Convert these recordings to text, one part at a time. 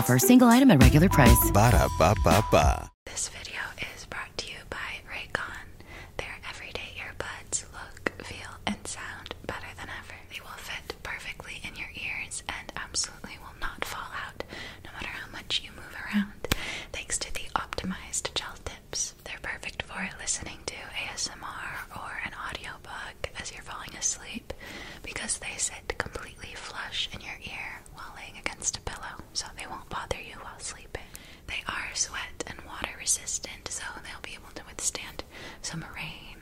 offer, single item at regular price. Ba da ba ba This video is brought to you by Raycon. Their everyday earbuds look, feel, and sound better than ever. They will fit perfectly in your ears and absolutely will not fall out no matter how much you move around. Thanks to the optimized gel tips, they're perfect for listening to ASMR or an audiobook as you're falling asleep because they sit completely flush in your ear while laying against a pillow, so they won't bother you while sleeping. They are sweat and water resistant, so they'll be able to withstand some rain,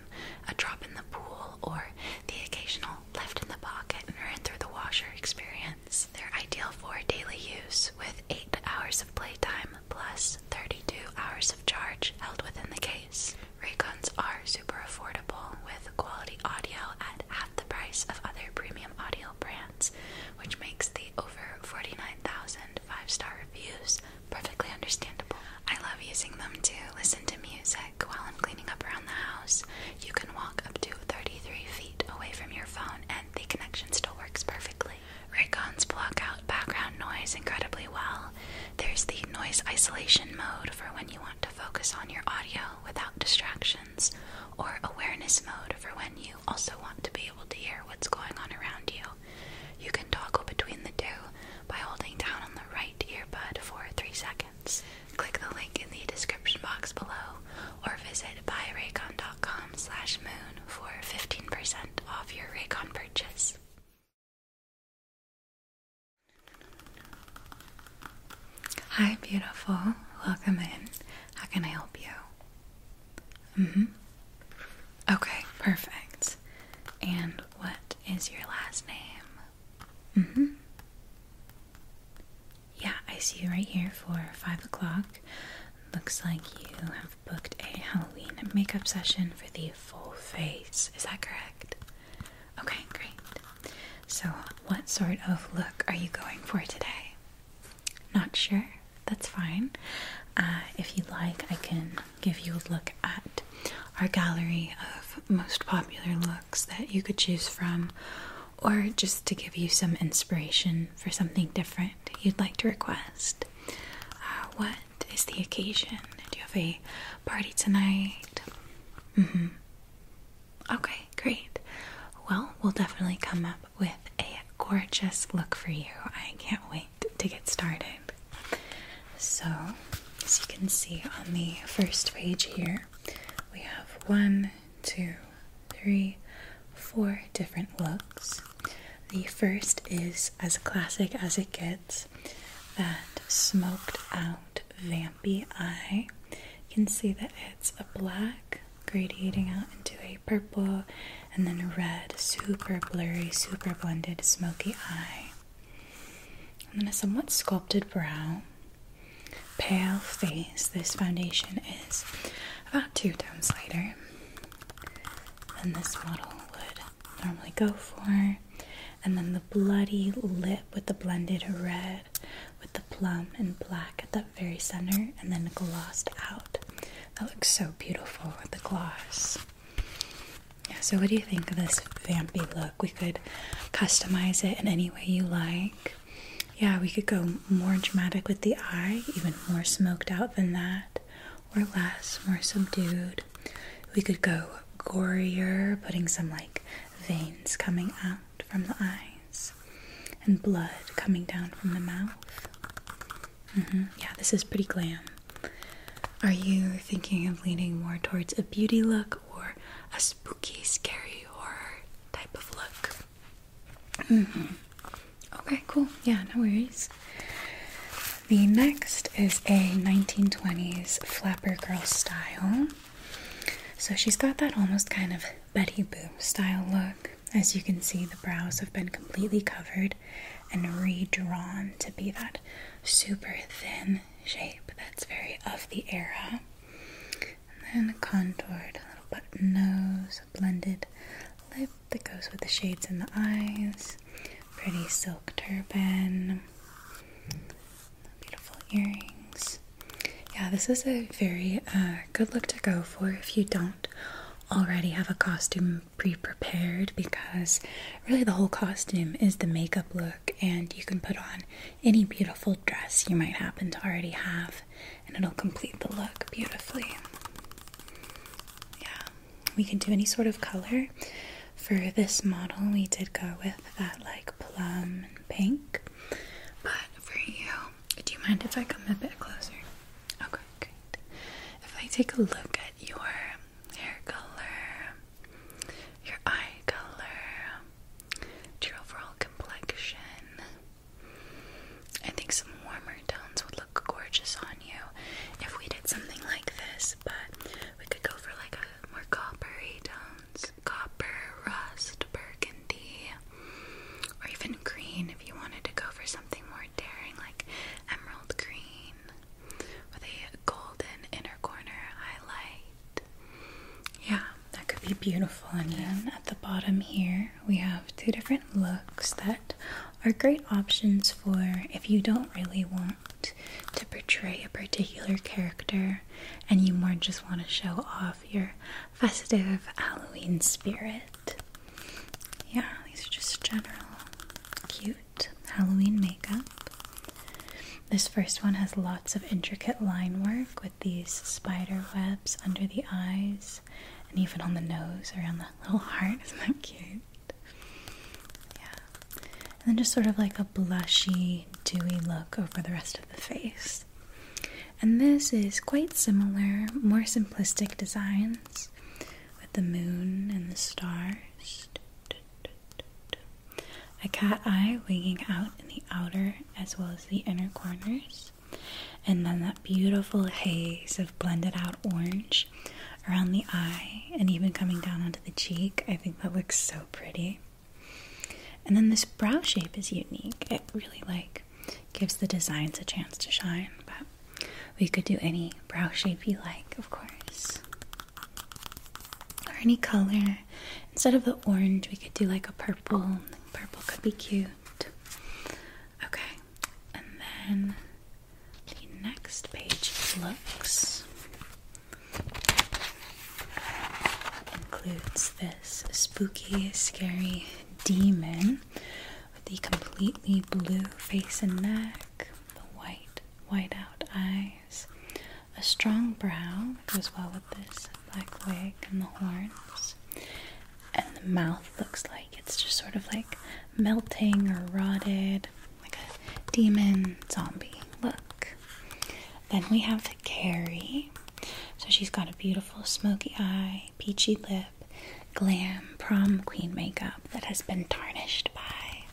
a drop in the pool, or the occasional left in the pocket and ran through the washer experience. They're ideal for daily use with 8 hours of playtime plus 32 hours of charge held within the case. Raycons are super affordable with quality audio at half the price of other premium audio brands, which makes the over 49,000 five star reviews perfectly understandable. I love using them to listen to music while I'm cleaning up around the house. You can walk up to 33 feet away from your phone and the connection still works perfectly. Raycons block out background noise incredibly well, there's the noise isolation mode for when you want to focus on your audio without distractions, or awareness mode for when you also want to be able to hear what's going on around you. You can toggle between the two by holding down on the right earbud for 3 seconds. Click the link in the description box below or visit buyraycon.com slash moon for 15% off your Raycon purchase. Hi, beautiful. Welcome in. How can I help you? Mhm. okay, perfect. And what is your last name? Mhm. yeah, I see you right here for five o'clock. Looks like you have booked a Halloween makeup session for the full face. Is that correct? Okay, great. So, what sort of look are you going for today? Not sure? That's fine. Uh, if you'd like, I can give you a look at our gallery of most popular looks that you could choose from, or just to give you some inspiration for something different you'd like to request. Uh, what is the occasion? Do you have a party tonight? Mm-hmm. Okay, great. Well, we'll definitely come up with a gorgeous look for you. I can't wait to get started. So, as you can see on the first page here, we have one, two, three, four different looks. The first is as classic as it gets that smoked out around Vampy Eye. You can see that it's a black gradating out into a purple and then a red, super blurry, super blended smoky eye. And then a somewhat sculpted brow, pale face. This foundation is about two tones lighter than this model would normally go for and then the bloody lip with the blended red, with the plum and black at that very center, and then glossed out. That looks so beautiful with the gloss. so what do you think of this vampy look? We could customize it in any way you like. Yeah, we could go more dramatic with the eye, even more smoked out than that, or less, more subdued. We could go gorier, putting some like veins coming out from the eyes and blood coming down from the mouth. Mm-hmm. Yeah, this is pretty glam. Are you thinking of leaning more towards a beauty look or a spooky, scary horror type of look? Mm-hmm. Okay, cool. Yeah, no worries. The next is a 1920s flapper girl style so she's got that almost kind of Betty Boop style look. As you can see, the brows have been completely covered and redrawn to be that super thin shape that's very of the era. And then contoured, little button nose, a blended lip that goes with the shades in the eyes, pretty silk turban. Beautiful earrings. Yeah, this is a very uh, good look to go for if you don't already have a costume pre prepared because really the whole costume is the makeup look, and you can put on any beautiful dress you might happen to already have, and it'll complete the look beautifully. Yeah, we can do any sort of color. For this model, we did go with that like plum and pink. But for you, do you mind if I come a bit closer? Okay, great. If I take a look at your hair color, your eye color, your overall complexion, I think some warmer tones would look gorgeous on you if we did something like this, but we could go for like a more coppery tones, copper, rust, burgundy, or even green if you wanted to go for something more daring like emerald green with a golden inner corner highlight. Yeah, that could be beautiful. And then at the bottom here, we have two different looks that are great options for if you don't really want to portray a particular character and you more just want to show off your festive Halloween spirit. Yeah, these are just general cute Halloween makeup. This first one has lots of intricate line work with these spider webs under the eyes and even on the nose around the little heart. Isn't that cute? Yeah. And then just sort of like a blushy, dewy look over the rest of the face. And this is quite similar, more simplistic designs with the moon and the stars. A cat eye winging out in the outer as well as the inner corners. And then that beautiful haze of blended out orange around the eye and even coming down onto the cheek. I think that looks so pretty. And then this brow shape is unique. It really like gives the designs a chance to shine, but we could do any brow shape you like, of course. Or any color. Instead of the orange, we could do like a purple. Purple could be cute. Okay, and then the next page looks Includes this spooky, scary demon with the completely blue face and neck, the white, white out eyes, a strong brow that goes well with this black wig and the horns, and the mouth looks like it's just sort of like melting or rotted, like a demon zombie look. Then we have Carrie. So she's got a beautiful smoky eye, peachy lip, glam prom queen makeup that has been tarnished by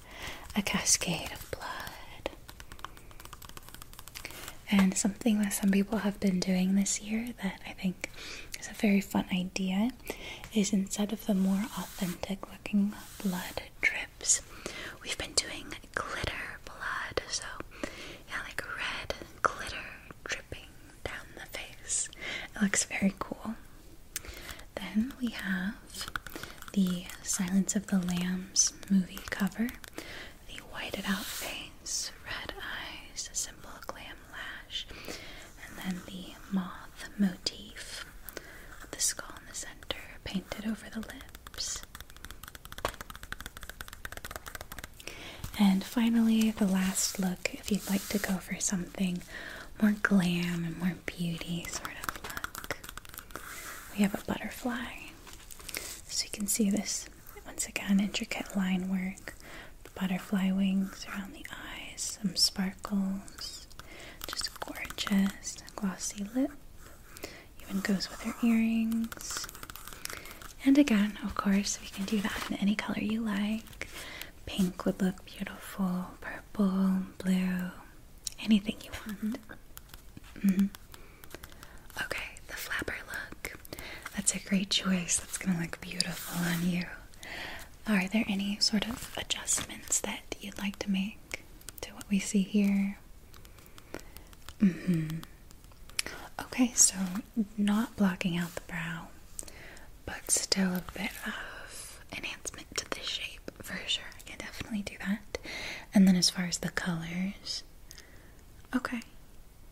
a cascade of blood. And something that some people have been doing this year that I think is a very fun idea is instead of the more authentic looking blood drip, We've been doing glitter blood, so yeah, like red glitter dripping down the face. It looks very cool. Then we have the Silence of the Lambs movie cover, the whited out face, red eyes, a simple glam lash, and then the moth motif with the skull in the center, painted over the lips. And finally, the last look if you'd like to go for something more glam and more beauty sort of look. We have a butterfly. So you can see this once again intricate line work, butterfly wings around the eyes, some sparkles, just gorgeous glossy lip, even goes with your earrings. And again, of course, we can do that in any color you like. Pink would look beautiful, purple, blue, anything you want. Mm-hmm. Mm-hmm. Okay, the flapper look. That's a great choice. That's gonna look beautiful on you. Are there any sort of adjustments that you'd like to make to what we see here? Mm-hmm. Okay, so not blocking out the brow, but still a bit of enhancement to the shape for sure. I can definitely do that. And then as far as the colors, okay,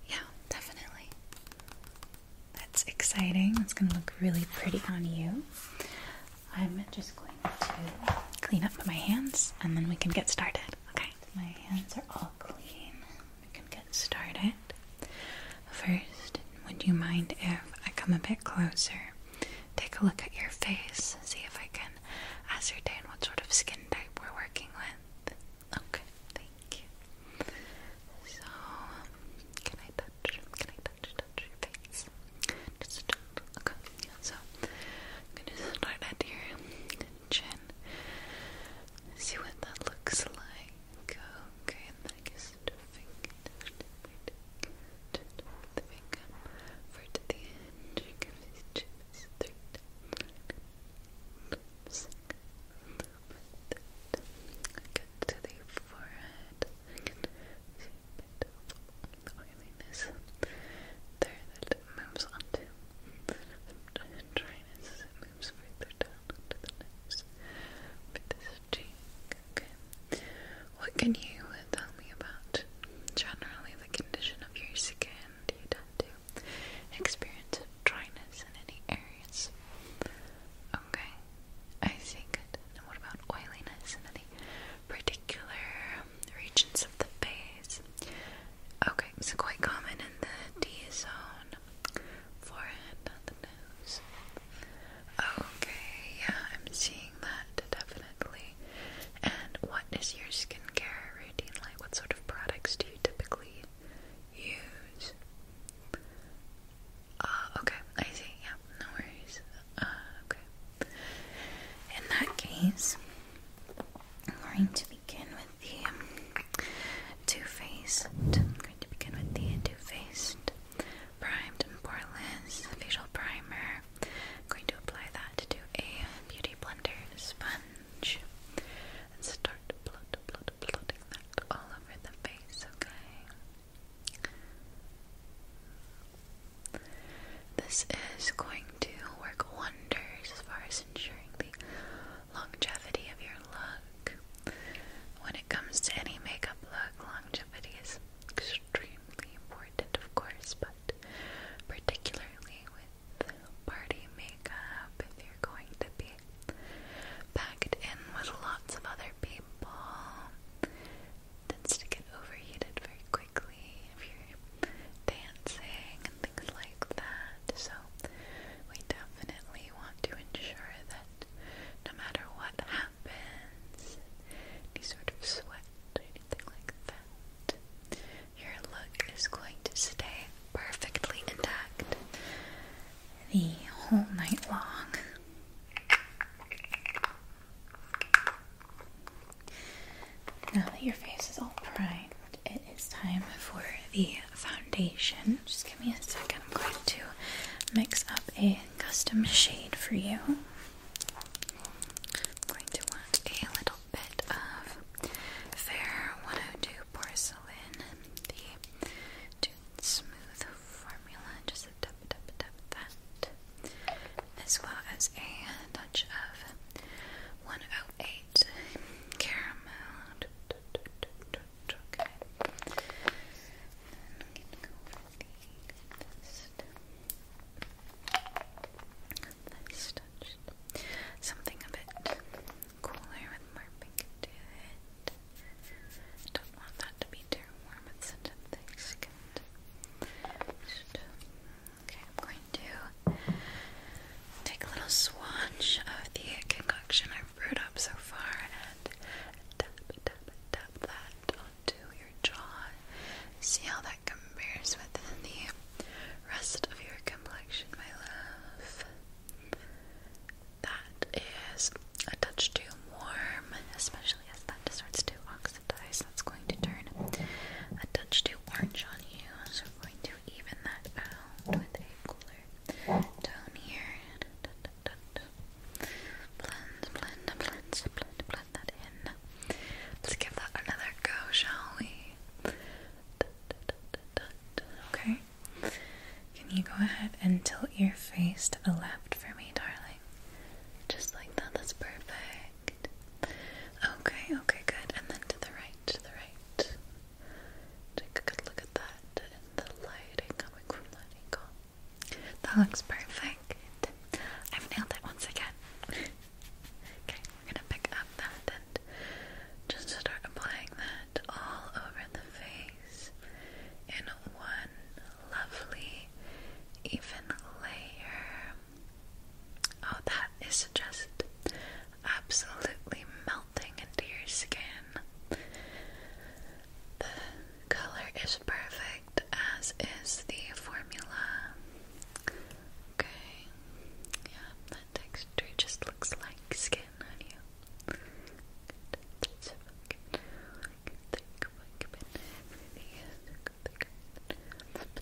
yeah, definitely. That's exciting. It's gonna look really pretty on you. I'm just going to clean up my hands and then we can get started. Okay. My hands are all clean. We can get started. First, would you mind if I come a bit closer? Take a look at your face, see if I can ascertain what sort of skin type we're working with. Okay, thank you. So, can I touch? Can I touch? Touch? your face. Just okay. So I'm gonna start at your chin. See what that looks like. Okay, and then I guess the finger the finger over the end. Give this three times. Get to the forehead. Get to the oiliness there that moves onto. The dryness moves further down onto But this cheek, okay. What can you tell me about generally the condition of your skin? Do you tend to experience dryness in any areas? Okay, I see, good. And what about oiliness in any particular regions of the face. Okay, so quite common in the D zone, forehead, not the nose. Okay, yeah, I'm seeing that definitely. And what is your skincare routine like? What sort of products do you typically use? Uh, okay, I see, yeah, no worries. Uh, okay. In that case, I'm going to begin with the um, faced I'm going to begin with the two-faced primed and poreless facial primer. I'm going to apply that to a beauty blender sponge and start blotting that all over the face. Okay. This is going to work wonders as far as ensuring the longevity of your look. When it comes to any makeup look, longevity is extremely important, of course, but particularly with party makeup, if you're going to be packed in with lots of other people, tends to get overheated very quickly if you're dancing and things like that. So we definitely want to ensure that no matter what happens, any sort of sweat or anything like that, your look is going to stay perfectly intact the whole night long. Now that your face is all primed, it is time for the foundation. Just give me a second, I'm going to mix up a custom shade for you. going to want a little bit of Fair 102 Porcelain, the Smooth Formula, just a dab, dab, dab that as well as a touch of 108 caramel. Something a bit cooler with more pink to it. Don't want that to be too warm. It's such a thick skin. Okay, I'm going to take a little swatch of the concoction I've brewed up so far and tap, tap, tap that onto your jaw. See how that compares with the rest of your complexion, my love. That is a touch too warm, especially especially that starts to oxidize, that's going to turn a touch too orange on you. So we're going to even that out with a cooler tone here. Dun, Blend, blend, blend, blend, blend that in. Let's give that another go, shall we? Okay. Can you go ahead and tilt your face to the left for me, darling? Just like that, that's perfect. Okay, okay, good. And then to the right, to the right. Take a good look at that and the lighting coming from that angle. That looks perfect. I've nailed it once again. okay, we're gonna pick up that and just start applying that all over the face in one lovely, even layer. Oh, that is just absolutely melting into your skin. The color is perfect, as is the formula. Okay, yeah, that texture just looks like skin on you.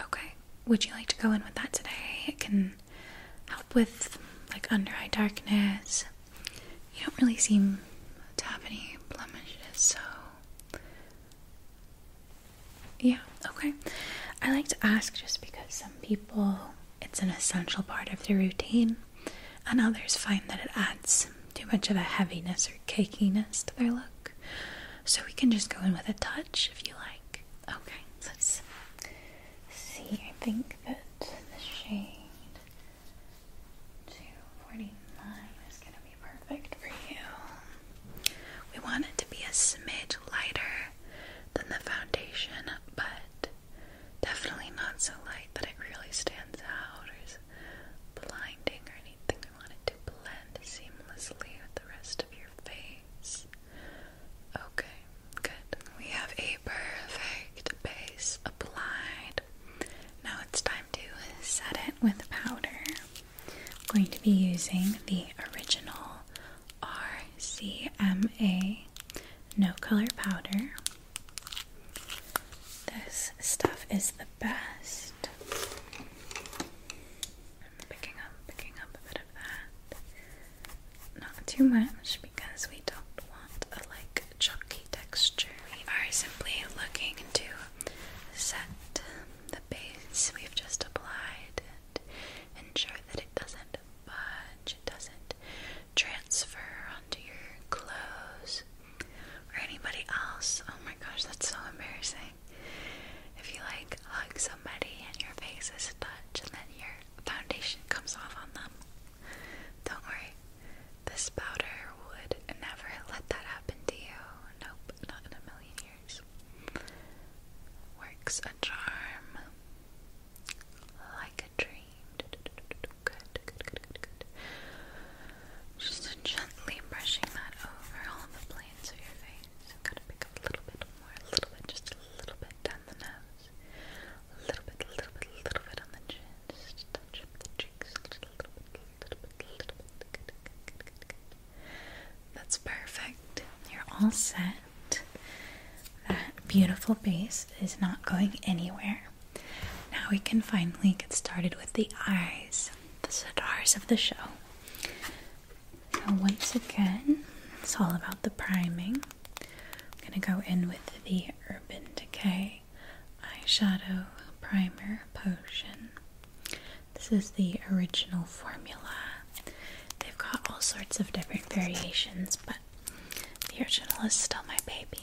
Okay, would you like to go in with that today? It can help with like under eye darkness. You don't really seem to have any blemishes, so. Yeah, okay. I like to ask just because some people it's an essential part of their routine, and others find that it adds too much of a heaviness or cakiness to their look. So we can just go in with a touch if you like. Okay, let's see. I think that the shade 249 is going to be perfect for you. We want it to be a smidge lighter than the foundation, but definitely not so light that it really stands out or is blinding or anything. We want it to blend seamlessly with the rest of your face. Okay, good. We have a perfect base applied. Now it's time to set it with powder. going to be using the original RCMA No Color Powder. This stuff is the best picking up, picking up a bit of that. Not too much because we don't want a like chunky texture. We are simply looking to set the base we've just applied and ensure that it doesn't budge, it doesn't transfer onto your clothes or anybody else. Oh my gosh, that's so embarrassing. If you like hug somebody and your face is touched and then your foundation comes off on them, don't worry. This powder would never let that happen to you. Nope, not in a million years. Works a charm like a dream. Good, good, good, good, good. Just gently brushing that over all the planes of your face. So gotta pick up a little bit more, a little bit, just a little bit down the nose, a little bit, a little bit, a little bit on the chin, a little, bit, a little bit, a little bit. That's perfect. You're all set. That beautiful base is not going anywhere. Now we can finally get started with the eyes, the stars of the show. Now, once again, it's all about the priming. I'm going to go in with the Urban Decay Eyeshadow Primer Potion. This is the original formula. They've got all sorts of different variations, but the original is still my baby.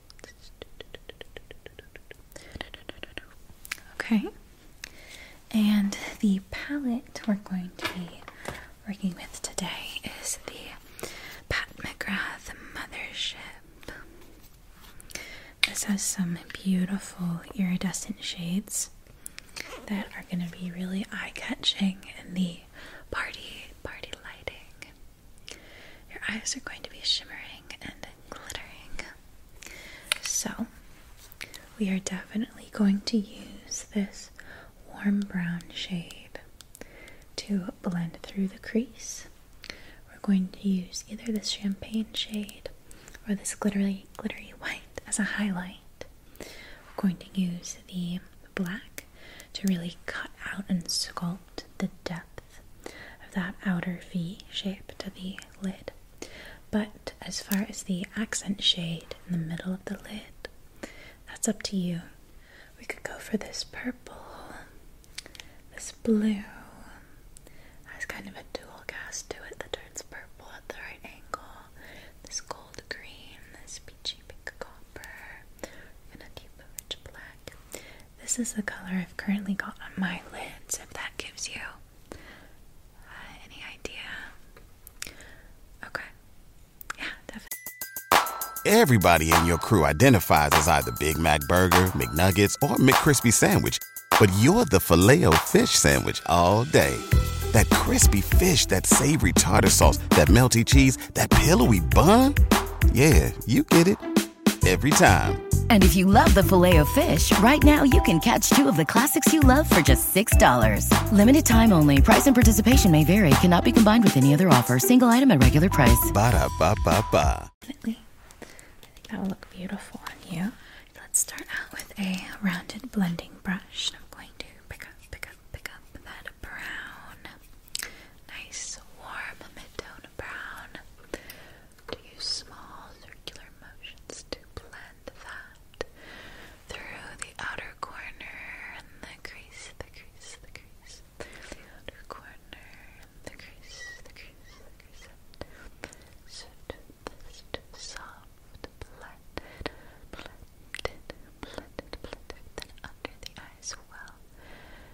Okay, and the palette we're going to be working with today is the Pat McGrath Mothership. This has some beautiful iridescent shades that are going to be really eye catching in the party party lighting. Your eyes are going to be shimmering and glittering. So, we are definitely going to use this warm brown shade to blend through the crease. We're going to use either this champagne shade or this glittery glittery white as a highlight. We're going to use the black to really cut out and sculpt the depth of that outer V shape to the lid. But as far as the accent shade in the middle of the lid, that's up to you. We could go for this purple, this blue. That's kind of a dual cast to it that turns purple at the right angle. This gold green, this peachy pink copper, and a deep rich black. This is the color I've currently got on my lids, if that gives you uh, any idea. Okay. Yeah, definitely. Everybody in your crew identifies as either Big Mac Burger, McNuggets, or McCrispy Sandwich, but you're the filet fish Sandwich all day. That crispy fish, that savory tartar sauce, that melty cheese, that pillowy bun. Yeah, you get it every time. And if you love the filet of fish, right now you can catch two of the classics you love for just $6. Limited time only. Price and participation may vary. Cannot be combined with any other offer. Single item at regular price. Ba da ba ba ba. I think that will look beautiful on you. Let's start out with a rounded blending brush. I'm going to pick up, pick up, pick up that brown, nice warm mid brown. To use small circular motions to blend that through the outer corner and the crease, the crease, the crease, the outer corner, the crease, the crease, the crease. Such so soft, blended, blended, blended, blended. Then under the eye as well.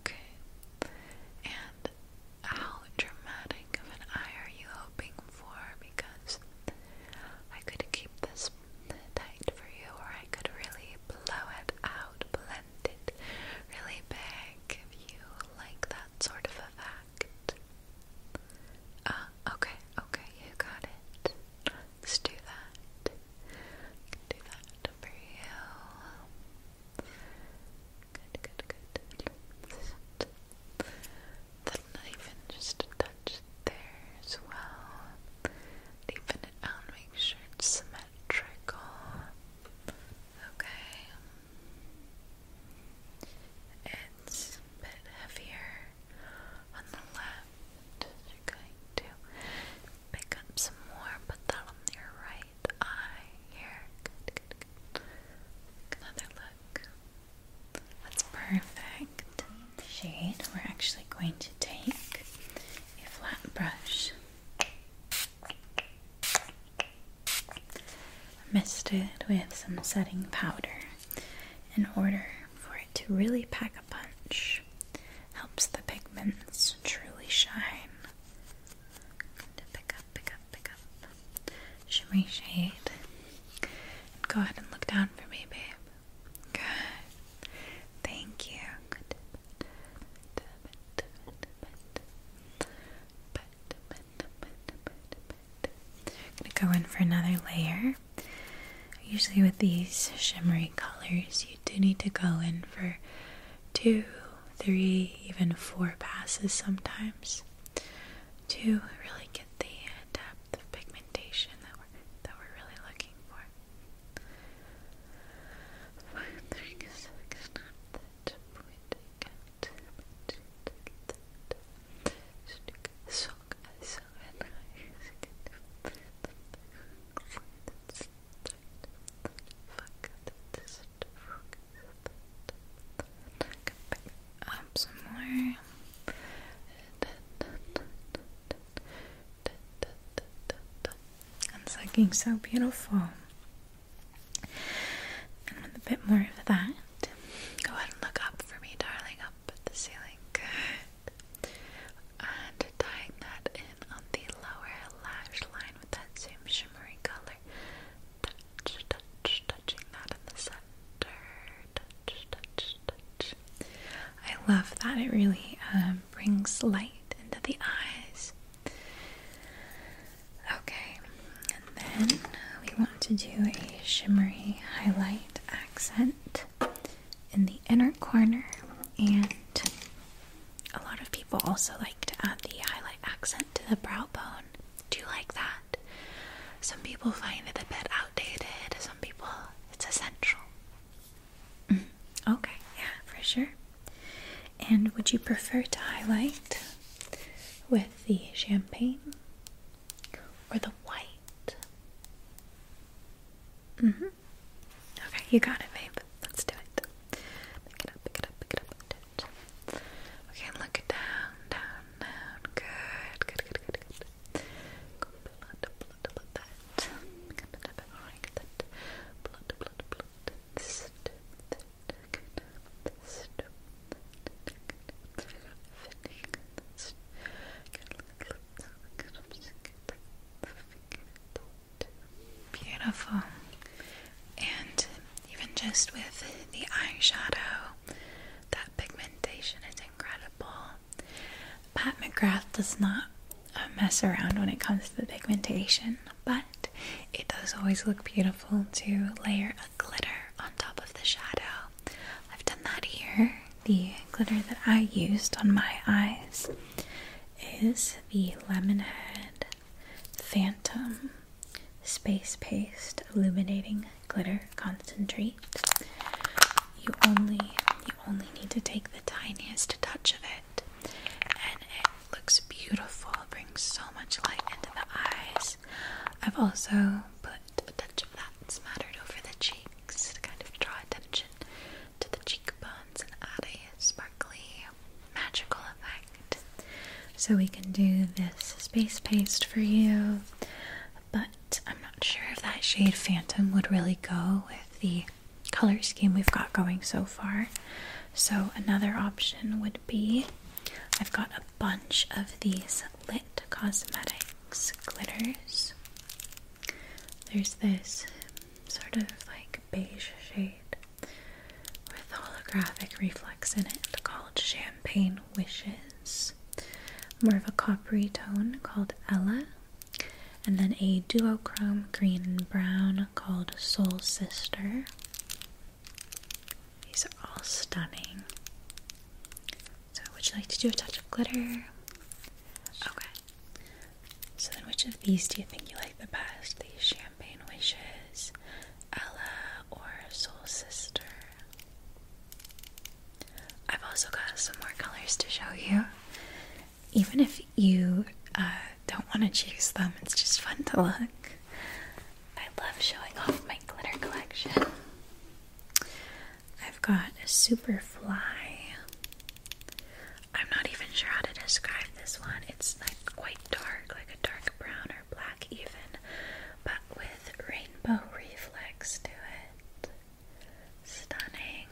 Okay. And how dramatic of an eye are you hoping for? Because I could keep this tight for you, or I could really blow it out, blend it really big if you like that sort of effect. Uh, okay, okay, you got it. Let's do that. can do that for you. Good, good, good. Then even just touch there as well. Even it out, make sure it's symmetrical. Okay. It's a bit heavier on the left. You're going to pick up some more, put that on your right eye here. Another look. That's perfect. shade we're actually going to take a flat brush. Mist it with some setting powder in order for it to really pack a punch. Helps the pigments truly shine. Going pick up, pick up, pick up. Shimmery shade. go ahead and look down for me, babe. Good. Thank you. gonna go in for another layer. Usually, with these shimmery colors, you do need to go in for two, three, even four passes sometimes to really get the depth of pigmentation that we're, that we're really looking for up some more. It's looking so beautiful. And with a bit more of that, go ahead and look up for me, darling. Up at the ceiling. And tying that in on the lower lash line with that same shimmery color. Touch, touch, touching that in the center. Touch, touch, touch. I love that. It really um, brings light into the eyes. Okay, and then we want to do a shimmery highlight accent in the inner corner, and a lot of people also like to add the highlight accent to the brow bone. Do you like that? Some people find it a bit outdated, some people it's essential. Mm-hmm. okay, yeah, for sure. And would you prefer to highlight with the champagne or the white? Mm-hmm. Okay, you got it, babe. Let's do it. Pick it up, pick it up, pick it up. Do it. Okay, look it down, down, down. Good, good, good, good, good. Go blood, blood, blood, that. Pick up and up and like that. Blood, blood, blood. This, that, good. This, that, good. Fitting, this. Good, look, look, Beautiful. And even just with the eyeshadow, that pigmentation is incredible. Pat McGrath does not uh, mess around when it comes to the pigmentation, but it does always look beautiful to layer a glitter on top of the shadow I've done that here. The glitter that I used on my eyes is the Lemonhead Phantom Space Paste Illuminating Glitter Concentrate. You only you only need to take the tiniest touch of it and it looks beautiful. It brings so much light into the eyes. I've also put a touch of that smattered over the cheek to kind of draw attention to the cheekbones and add a sparkly, magical effect. So we can do this space paste for you, but I'm not sure if that shade Phantom would really go with the color scheme we've got going so far. So another option would be I've got a bunch of these Lit Cosmetics glitters there's this sort of like beige shade with holographic reflex in it called Champagne Wishes. More of a coppery tone called Ella, and then a duochrome green and brown called Soul Sister. These are all stunning. So, would you like to do a touch of glitter? Okay. So then, which of these do you think you like the best? The Champagne Wishes, Ella, or Soul Sister? I've also got some more colors to show you. Even if you uh, don't want to choose them, it's just fun to look. I love showing off my glitter collection. I've got a Superfly. I'm not even sure how to describe this one. It's like quite dark, like a dark brown or black, even, but with rainbow reflex to it. Stunning.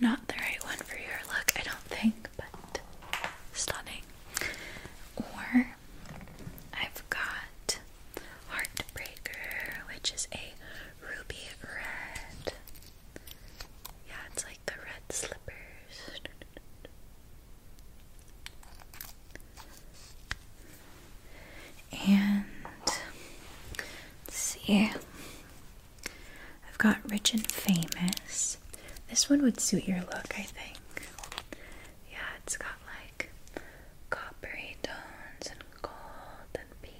Not the right one for your look, I don't think, but stunning. Or I've got Heartbreaker, which is a ruby red. Yeah, it's like the red slippers. And let see, I've got Rich and Famous. This one would suit your look, I think. Yeah, it's got like coppery tones and gold and pink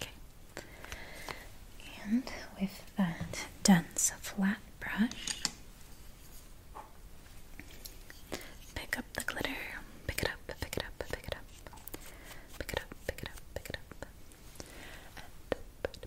Okay. And with that dense flat brush, pick up the glitter. Pick it up, pick it up, pick it up. Pick it up, pick it up, pick it up. And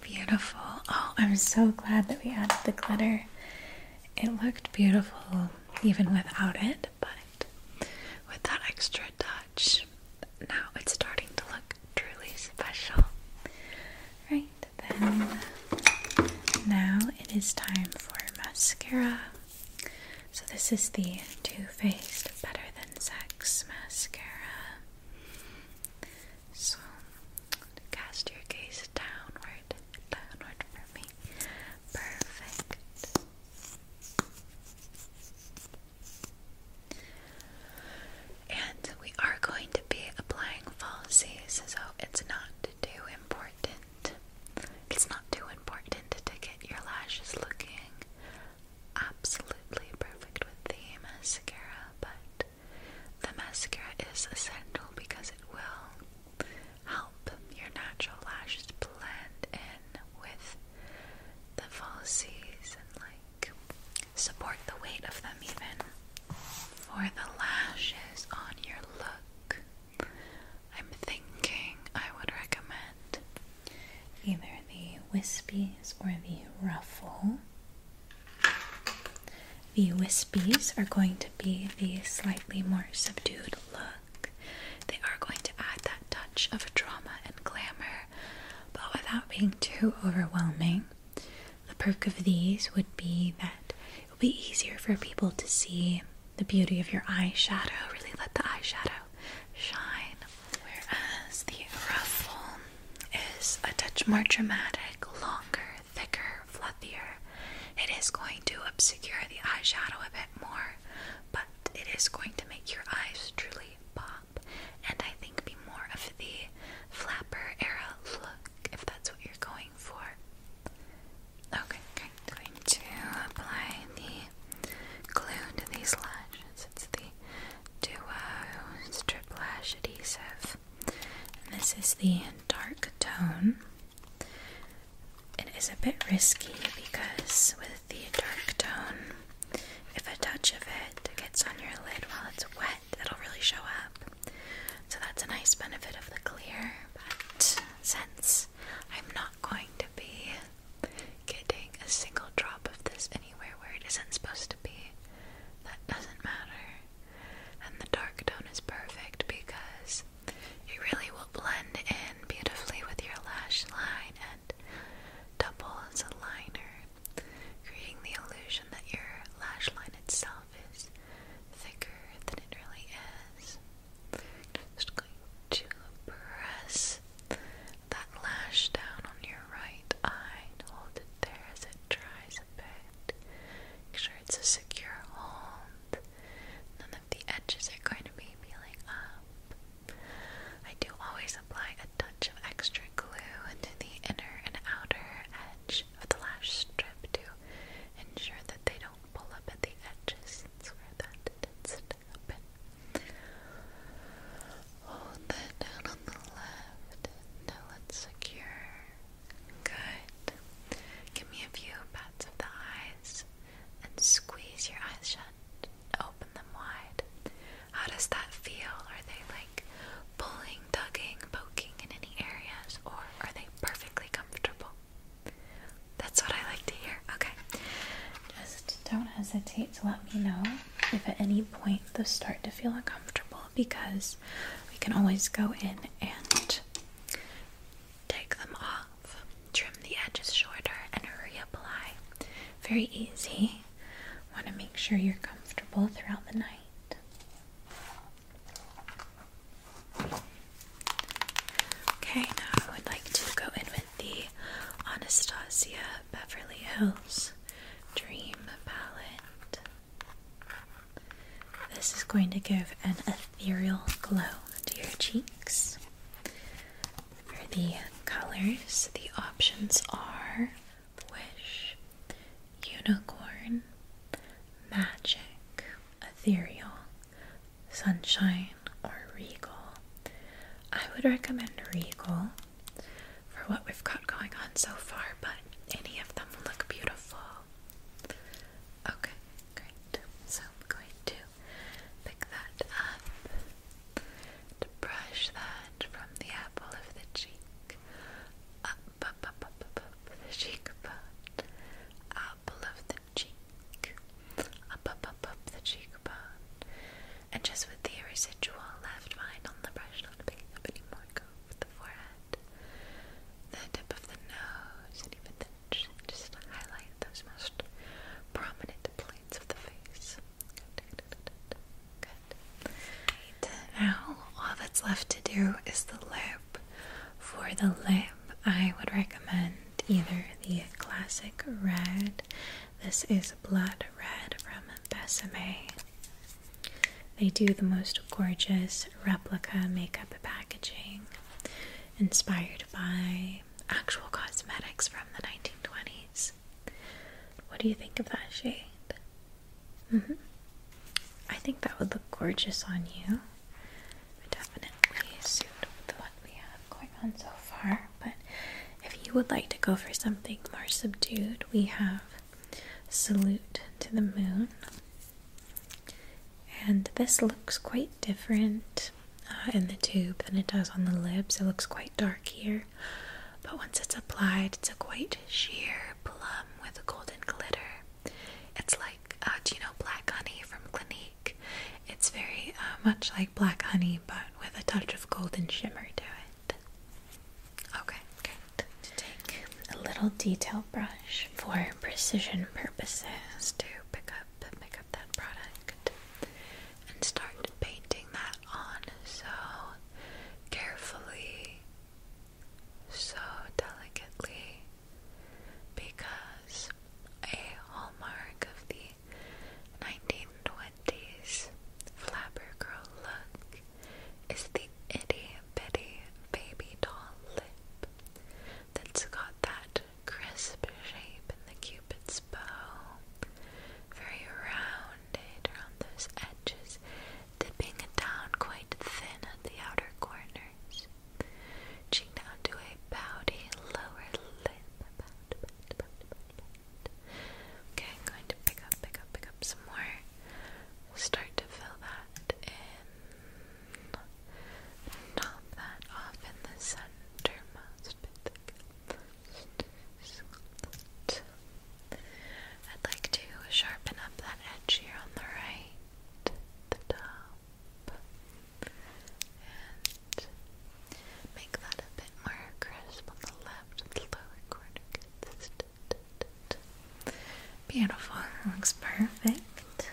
Beautiful. Oh, I'm so glad that we added the glitter. It looked beautiful even without it, but with that extra touch, now it's starting to look truly special. Right then, now it is time for mascara. So, this is the Too Faced Better Than Sex mascara. So cast your gaze downward, downward for me. Perfect. And we are going to be applying falsies, so it's not too important. It's not too important to get your lashes looking absolutely perfect with the mascara, but the mascara is essential because it will help your natural lashes blend in with the falsies and like support the weight of them even. For the lashes on your look, I'm thinking I would recommend either the wispies or the ruffle. The wispies are going to be the slightly more subdued look. They are going to add that touch of drama and glamour, but without being too overwhelming. The perk of these would be that it will be easier for people to see the beauty of your eyeshadow. Really let the eyeshadow shine Whereas the ruffle is a touch more dramatic, longer, thicker, fluffier. It is going to obscure the eyeshadow a bit more, but it is going to make your eyes truly pop and I think be more of the flapper era look if that's what you're going for. Okay, I'm going to apply the glue to these lashes. It's the Duo Strip Lash Adhesive. this is the dark tone. It is a bit risky because with the dark tone, if a touch of it gets on your lid while it's wet, it'll really show up. So that's a nice benefit of the clear, but since I'm not going to be getting a single drop of this where it isn't supposed to be. That doesn't matter. And the dark tone is perfect because it really will blend in beautifully with your lash line and double as a liner, creating the illusion that your lash line itself is thicker than it really is. Just going to press that lash down on your right eye hold it there as it dries a bit. Make sure it's a secure hold. None of the edges are going to be peeling up. I do always apply a touch of extra glue to the inner and outer edge of the lash strip to ensure that they don't pull up at the edges. That's where that did Hold that down on the left until it's secure. Good. Give me a few pats of the eyes and squeeze your eyes shut. Open them wide. How does that feel? Are they like pulling, tugging, poking in any areas, or are they perfectly comfortable? That's what I like to hear. Okay. Just don't hesitate to let me know if at any point they start to feel uncomfortable because we can always go in and take them off, trim the edges shorter, and reapply. Very easy. Want to make sure you're comfortable throughout the night. Okay, now I would like to go in with the Anastasia Beverly Hills Dream Palette. This is going to give an ethereal glow to your cheeks. For the colors, the options are Wish, Unicorn, Magic, Ethereal, Sunshine, or Regal. I would recommend Regal for what we've got going on so far, but any of them will look beautiful. Okay, great. So I'm going to pick that up, brush that from the apple of the cheek, up, up, up, up, up the cheekbone, apple of the cheek, up, up, up, up the cheekbone, and just with the residual left behind on the brush, not picking up any more, go with the forehead, the tip of the nose, and even the chin, just highlight those most prominent planes of the face. Good, good, Now, all that's left to do is the lip. For the lip, I would recommend either the classic red. This is blood red from Besame. They do the most gorgeous replica makeup packaging inspired by actual cosmetics from the 1920s. What do you think of that shade? Mm -hmm. I think that would look gorgeous on you. Definitely suit with what we have going on so far, but if you would like to go for something more subdued, we have Salute to the Moon. And this looks quite different uh, in the tube than it does on the lips. It looks quite dark here, but once it's applied, it's a quite sheer plum with a golden glitter. It's like, uh, do you know Black Honey from Clinique? It's very uh, much like Black Honey, but with a touch of golden shimmer to it. Perfect. Okay, To take a little detail brush for precision purposes to pick up pick up that product and start painting that on so carefully, so delicately, because a hallmark of the 1920 this Flapper Girl look is the itty bitty baby doll lip that's got that crisp shape in the cupid's bow. Very rounded around those edges, dipping down quite thin at the outer corners. Reaching down to a pouty lower lip. Okay, I'm going to pick up, pick up, pick up some more. Start to fill that in. Top that off in the centermost bit. I'd like to sharpen up that edge here on the right, the top, and make that a bit more crisp on the Beautiful. looks perfect.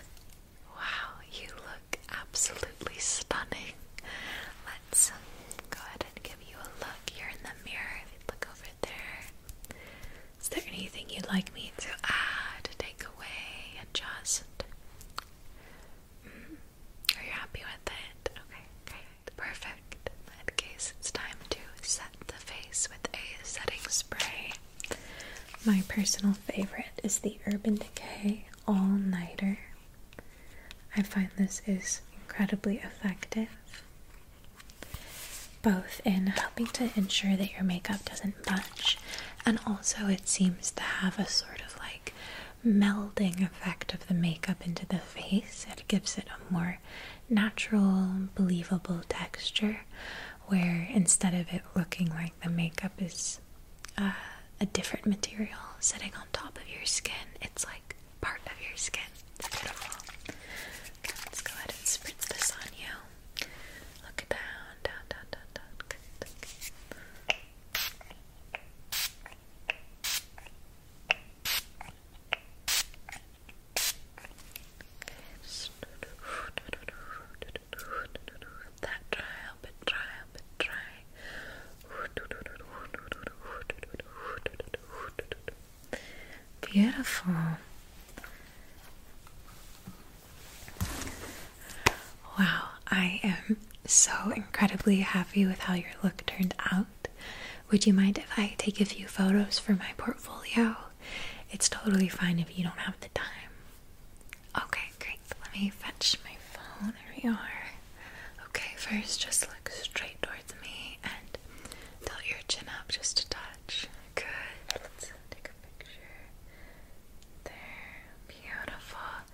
Wow, you look absolutely stunning. Let's um, go ahead and give you a look. here in the mirror. If you look over there, is there anything you'd like me to add, take away, adjust? Mm Are you happy with it? Okay, great. Perfect. In that case, it's time to set the face with a setting spray. My personal favorite is the Urban Decay All Nighter. I find this is incredibly effective, both in helping to ensure that your makeup doesn't budge, and also it seems to have a sort of like melding effect of the makeup into the face. It gives it a more natural, believable texture where instead of it looking like the makeup is uh, a different material sitting on top of your skin, it's like part of your skin. It's beautiful. let's go ahead and spritz this on you. Look down, down, down, down, down. That dry, help it dry, help it dry. Beautiful. Wow, I am so incredibly happy with how your look turned out. Would you mind if I take a few photos for my portfolio? It's totally fine if you don't have the time. Okay, great. Let me fetch my phone. There we are. Okay, first just look straight towards me and tilt your chin up just a touch. Good. Let's take a picture. There. Beautiful.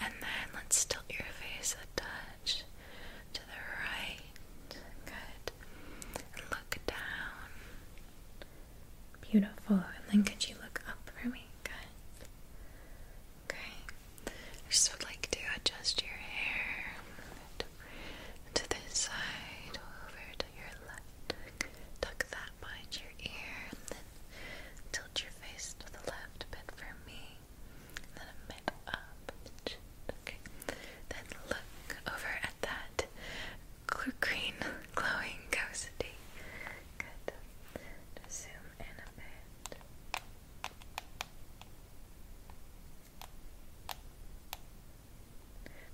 And then let's tilt your face a touch to the right Good. And look down. Beautiful. And then could you look up for me? Good. Okay. just would like to adjust your hair. To this side, over to your left. Tuck that behind your ear and then tilt your face to the left a for me then a bit up Okay. Then look over at that green glowing ghosty. Good. zoom in a bit.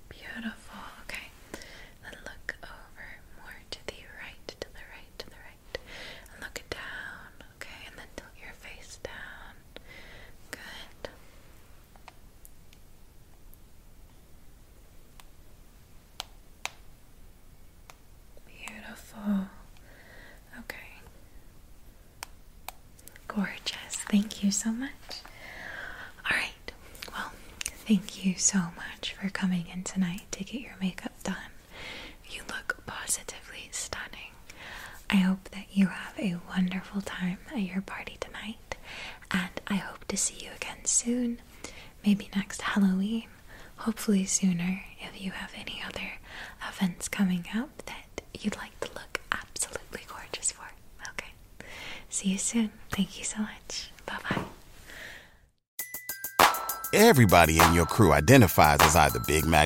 Beautiful. Okay. Then look over more to the right, to the right, to the right. look down. Okay, and then tilt your face down. Good. Beautiful. Okay. Gorgeous. Thank you so much. All right. Well, thank you so much for coming in tonight to get your makeup done. You look positively stunning. I hope that you have a wonderful time at your party tonight, and I hope to see you again soon. Maybe next Halloween, hopefully sooner if you have any other events coming up that you'd like to look absolutely gorgeous for. Okay. See you soon. Thank you so much. Bye bye. Everybody in your crew identifies as either Big Mac